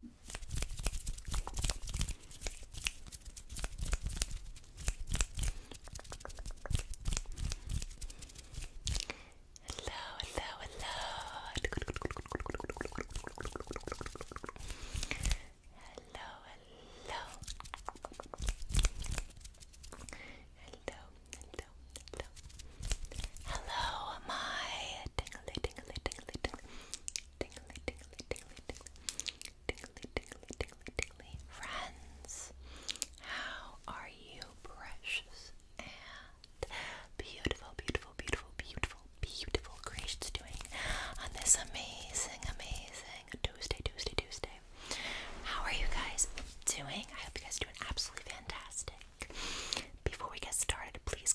hello, hello. Hello, hello. Hello, hello, hello. Hello, my tingly, tingly, tingly, tingly tingly, tingly, tingly, tingly, tingly, tingly, tingly. Friends, how are you, precious and beautiful, beautiful, beautiful, beautiful, beautiful creations doing on this amazing, amazing Tuesday, Tuesday, Tuesday? How are you guys doing? I hope you guys are doing absolutely fantastic. Before we get started, please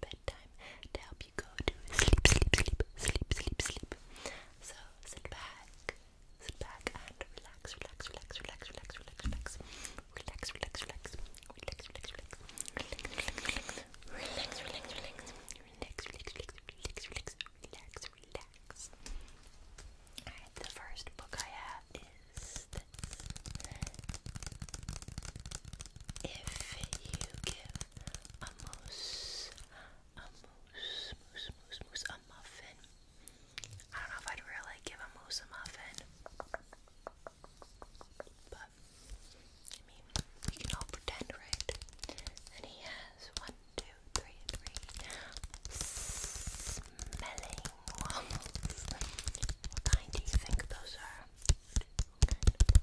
bedtime to help you go to sleep, sleep, sleep, sleep, sleep, sleep. So sit back, sit back and relax, relax, relax, relax, relax, relax, relax, relax, relax, relax, relax, relax, relax. Relax, relax, relax, relax, relax, relax, relax, relax, relax, relax. Alright, the first book I have is if you give a moose, a moose, moose, moose, moose, a muffin. I don't know if I'd really give a moose a muffin. But, I mean, we can all pretend, right? And he has one, two, three, three smelling waffles. What kind do you think those are?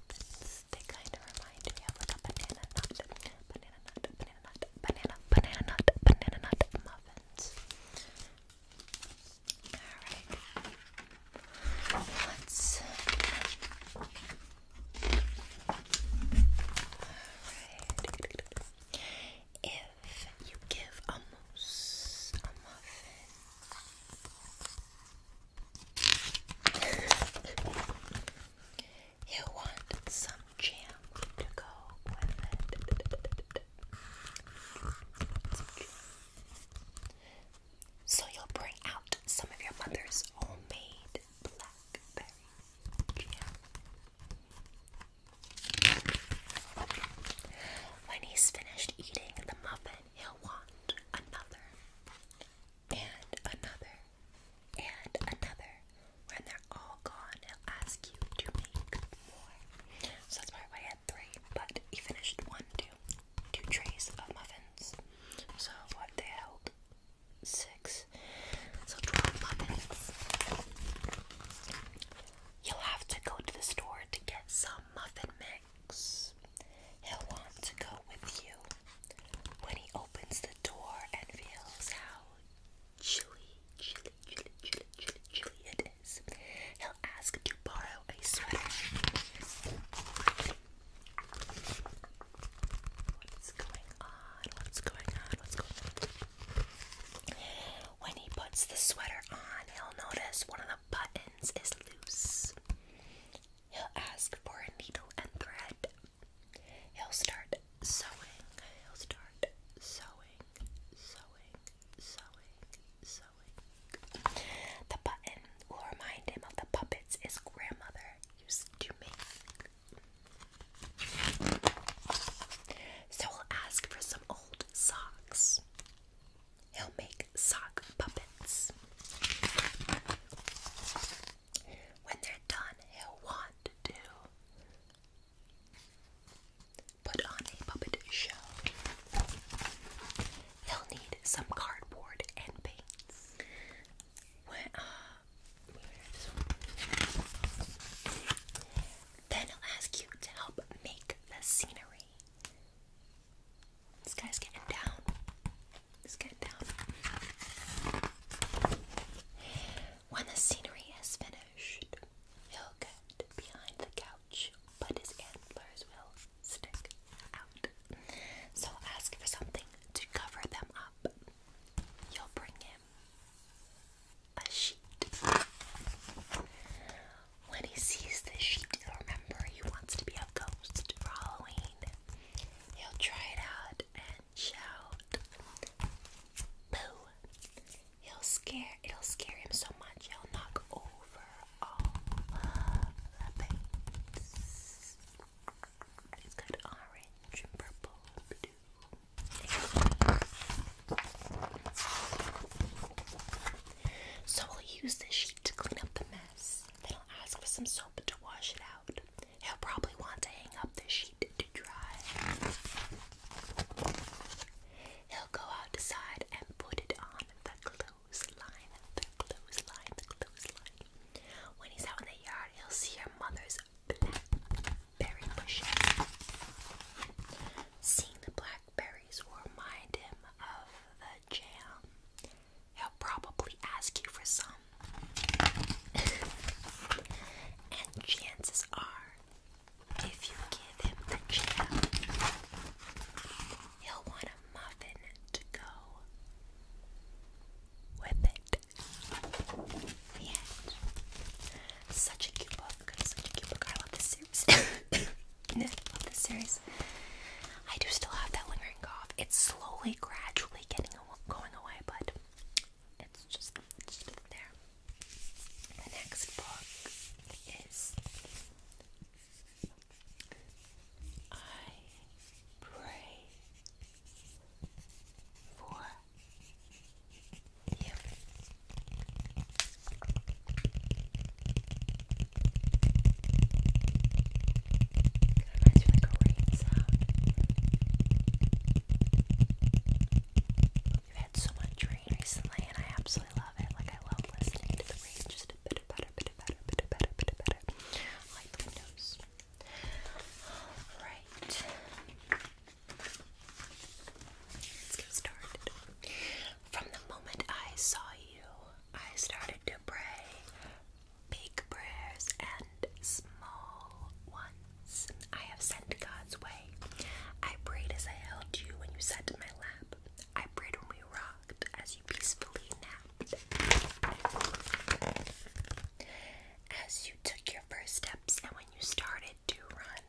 It's, they kind of remind me of a banana nut, banana nut, banana nut, banana, banana nut, banana nut muffins. Alright. let Alright. If you give a moose a muffin, you want some jam to go with it. So you'll bring out some of your mother's homemade blackberry jam. When he's finished eating the muffin, he'll want another and another and another. When they're all gone, he'll ask you to make more. So that's probably why I had three, but he finished one, two, two trays of muffins. So what they held six, so twelve muffins. You'll have to go to the store to get some muffin mix. He'll want to go with you when he opens the door and feels how chilly, chilly, chilly, chilly, chilly it is. He'll ask to borrow a sweater. What's going on? What's going on? What's going on? When he puts the sweater on, he'll notice one of the buttons is loose. He'll ask for a needle and thread. He'll start sewing. He'll start sewing, sewing, sewing, sewing. The button will remind him of the puppets his grandmother used to make. So he'll ask for some old socks. He'll make sock puppets. When they're done, he'll want to put on a puppet show. He'll need some cardboard and paints. Uh, then he'll ask you to help make the scenery. This guy's getting down. He's getting down. When the scenery is finished, he'll get behind the couch, but his antlers will stick out. So ask for something to cover them up. You'll bring him a sheet. When he sees this sheet, he remember he wants to be a ghost for Halloween. He'll try it out and shout. Boo! He'll scare. It'll scare him so much he'll knock over all the paints. It's got orange and purple and blue. So we'll use this sheet to clean up the mess mess. will ask for some soap to wash it out. He'll probably want to hang up the sheet to dry. He'll go outside and put it on the clothesline, the clothesline, the clothesline. When he's out in the yard, he'll see your mother's blackberry bushes. Seeing the black blackberries remind him of the jam. He'll probably ask you for some. and chances are, if you give him the jam, he'll want a muffin to go with it. such a cute book. Such a cute book. I love this series. I love this series. I do still have that lingering cough. It's slowly, gradually getting going away, but it's just, it's just there. The next book is I Pray for You. It reminds me like a rain sound. We've had so much rain recently, and I absolutely love it. Like I love listening to the rain, just a bit better, bit better, bit better, bit better. I like the windows. All right. Let's get started. From the moment I saw you, I started to pray big prayers and small ones I have sent God's way. I prayed as I held you when you sat in my lap. I prayed when we rocked as you peacefully napped. As you took your first steps and when you started to run,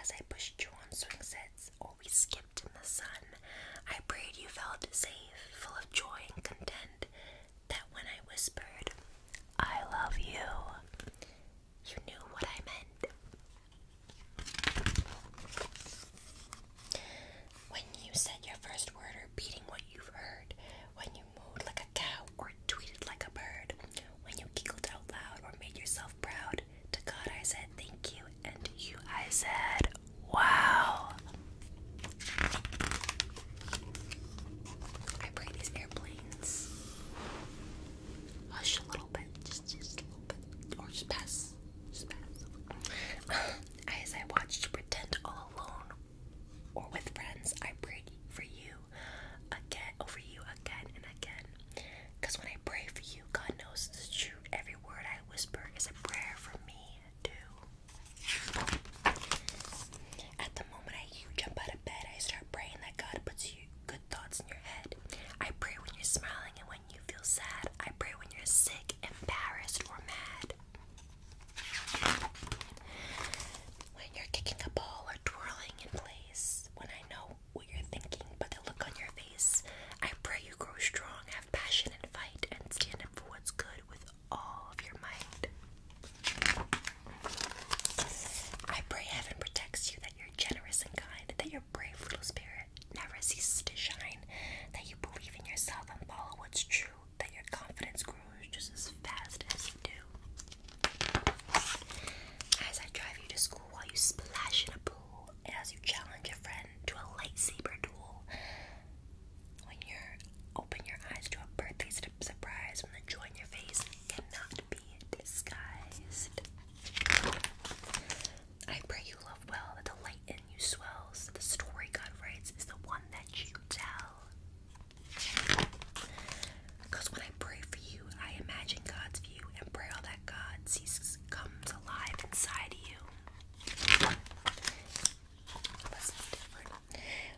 as I pushed you on swing sets or we skimmed in the sun, I prayed you felt safe, full of joy and content, that when I whispered, I love you, you knew what I meant. When you said your first word, or beating what you've heard, when you mooed like a cow or tweeted like a bird, when you giggled out loud or made yourself proud, to God I said thank you and you. I said, wow. I pray these airplanes hush a little bit, just, just a little bit, or just pass, just pass. As I watched Pretend All Alone or with friends, I prayed for you again, over you again and again. when I pray for you, God knows it's true. Every word I whisper is a prayer for me, too. At the moment I jump out of bed, I start praying that God puts good thoughts in your head. I pray when you're smiling and when you feel sad. I pray when you're sick, embarrassed, or mad. When you're kicking a ball or twirling in place, when I know what you're thinking, but the look on your I pray you grow strong, have passion, and fight, and stand up for what's good with all of your mind. I pray heaven protects you, that you're generous and kind, that your brave little spirit never ceases to shine, that you believe in yourself and follow what's true, that your confidence grows just as fast as you do. As I drive you to school while you splash in a pool as you challenge a friend to a lightsaber duel, when you open your eyes to a birthday surprise when the joy in your face cannot be disguised. I pray you love well that the light in you swells. The story God writes is the one that you tell. Because when I pray for you, I imagine God's view and pray all that God sees comes alive inside you.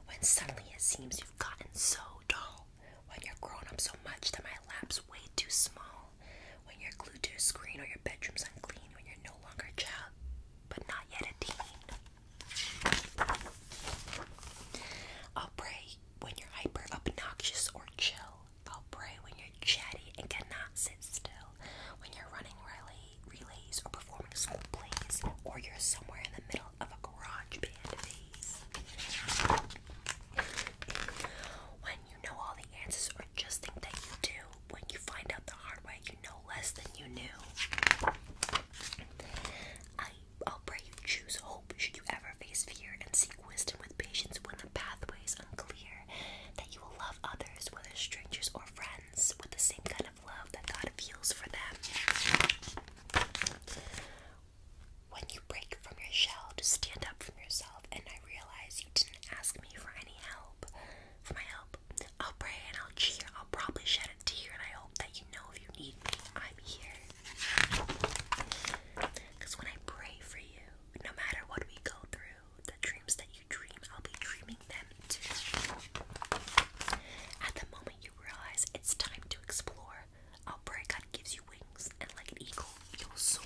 When suddenly it seems you've gotten so dull. When you're grown up so much that my lap's way too small. When you're glued to a screen or your bedroom's unclean. When you're no longer a child, but not yet a teen. I'll pray when you're hyper, obnoxious, or chill fall when you're chatty and cannot sit still, when you're running relay, relays or performing school plays, or you're somewhere in the middle of a garage band phase. When you know all the answers or just think that you do, when you find out the hard way, you know less than you knew. I, I'll pray you choose hope should you ever face fear and seek wisdom with patience when pathways unclear, that you will love others, whether strangers or friends, with the same kind of love that God feels for them. When you break from your shell to stand up from yourself, and I realize you didn't ask me for any help, for my help, I'll pray and I'll cheer. I'll probably shed a tear, and I hope that you know if you need me, I'm here. Because when I pray for you, no matter what we go through, the dreams that I'll be dreaming them too. At the moment you realize it's time to explore, I'll pray God gives you wings, and like an eagle, you'll soar.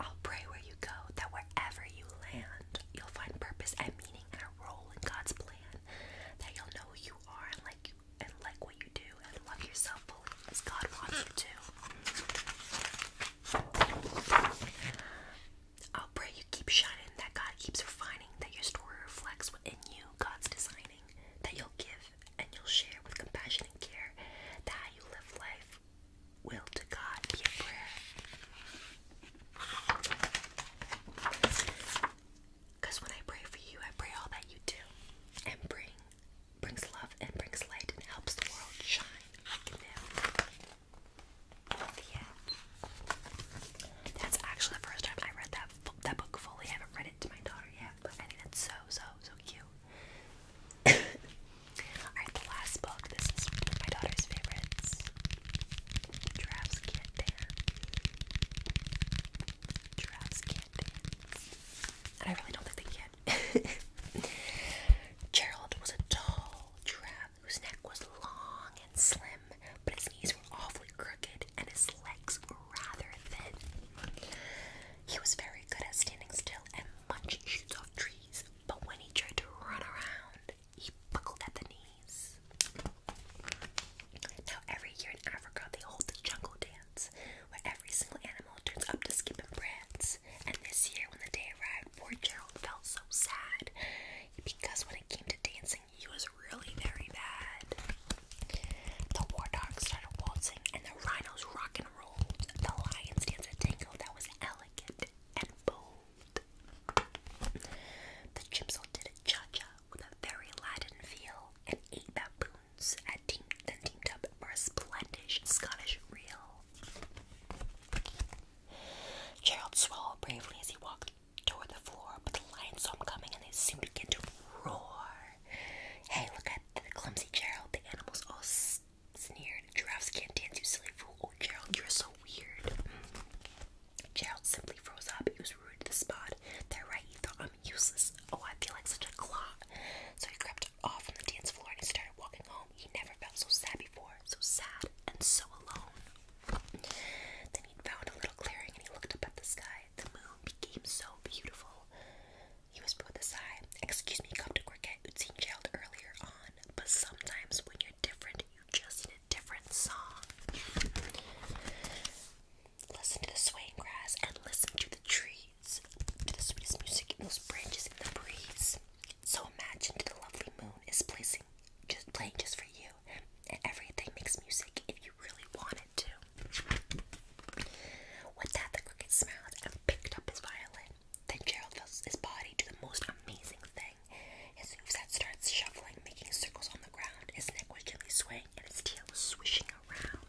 I'll pray where you go, that wherever you land, you'll find purpose and meaning and a role in God's plan. That you'll know who you are and like and like what you do and love yourself fully as God wants you to. I'll pray you keep shining, that God keeps refining, that your story reflects what in you God's designing, that you'll give and you'll share with compassion and care, that you live life will to God be a prayer. Because when I pray for you, I pray all that you do and bring brings love and brings light and helps the world shine That's actually the first time I read that that book fully. I haven't read it to my daughter yet, but I think that's so so so cute. Alright, the last book. This is one of my daughter's favorites. Giraffes can't and I really don't think they can. Gerald was a tall giraffe whose neck was long and slim, but his knees were awfully crooked and his legs were rather thin. He was very good at standing still and munching shoots off trees, but when he tried to run around, he buckled at the knees. Now, every year in Africa, they hold the jungle dance. Christmas, where every single animal turns up to skip and prance. And this year, when the day arrived, poor Gerald felt so sad because when it came to dancing, he was really very bad. The war dogs started waltzing, and the rhinos rock and rolled. The lions danced a tango that was elegant and bold. The gypsy did a cha cha with a very Latin feel, and eight baboons. And at Team, up Team for a splendid Scottish reel. Gerald swallowed bravely as he walked toward the floor, but the lions saw him coming and they soon began to roar. Hey, look at the clumsy Gerald. The animals all sneered. Giraffes can't dance, you silly fool. Oh, Gerald, you're so weird. Mm. Gerald simply froze up. He was rude to the spot. They're right, he thought I'm useless. Oh, I feel like such a clown. So he crept off from the dance floor and he started walking home. He never felt so sad before, so sad and so alone. Then he found a little clearing and he looked up at the sky. The moon became so beautiful. He was put aside. Excuse me, come to Cricket, who'd seen Gerald earlier on, but sometimes when you're different, you just need a different song. Listen to the swaying grass and listen to the tree to the sweetest music in those branches in the breeze. So imagine the lovely moon is placing, just playing just for you, and everything makes music if you really want it to. With that, the crooked smiled and picked up his violin. Then Gerald felt his body do the most amazing thing. His hooves starts shuffling, making circles on the ground. His neck was gently swaying, and his tail swishing around.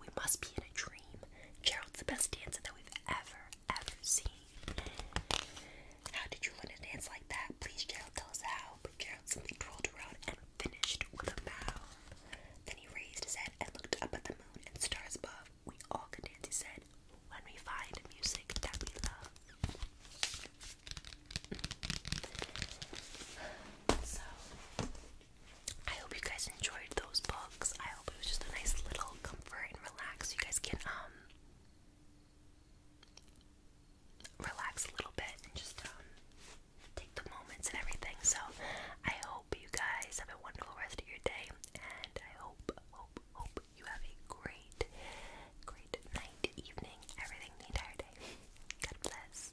We must be in a dream. Gerald's the best dancer that we've ever, ever seen. How did you learn to dance like that? Please, Gerald, tell us how. Gerald simply twirled around and finished with a bow. Then he raised his head and looked up at the moon and stars above. We all can dance, he said, when we find music that we love. So, I hope you guys enjoyed those books. I hope it was just a nice little comfort and relax. You guys can um relax a little bit and just um take the moments and everything. So I hope you guys have a wonderful rest of your day and I hope hope hope you have a great great night, evening, everything the entire day. God bless.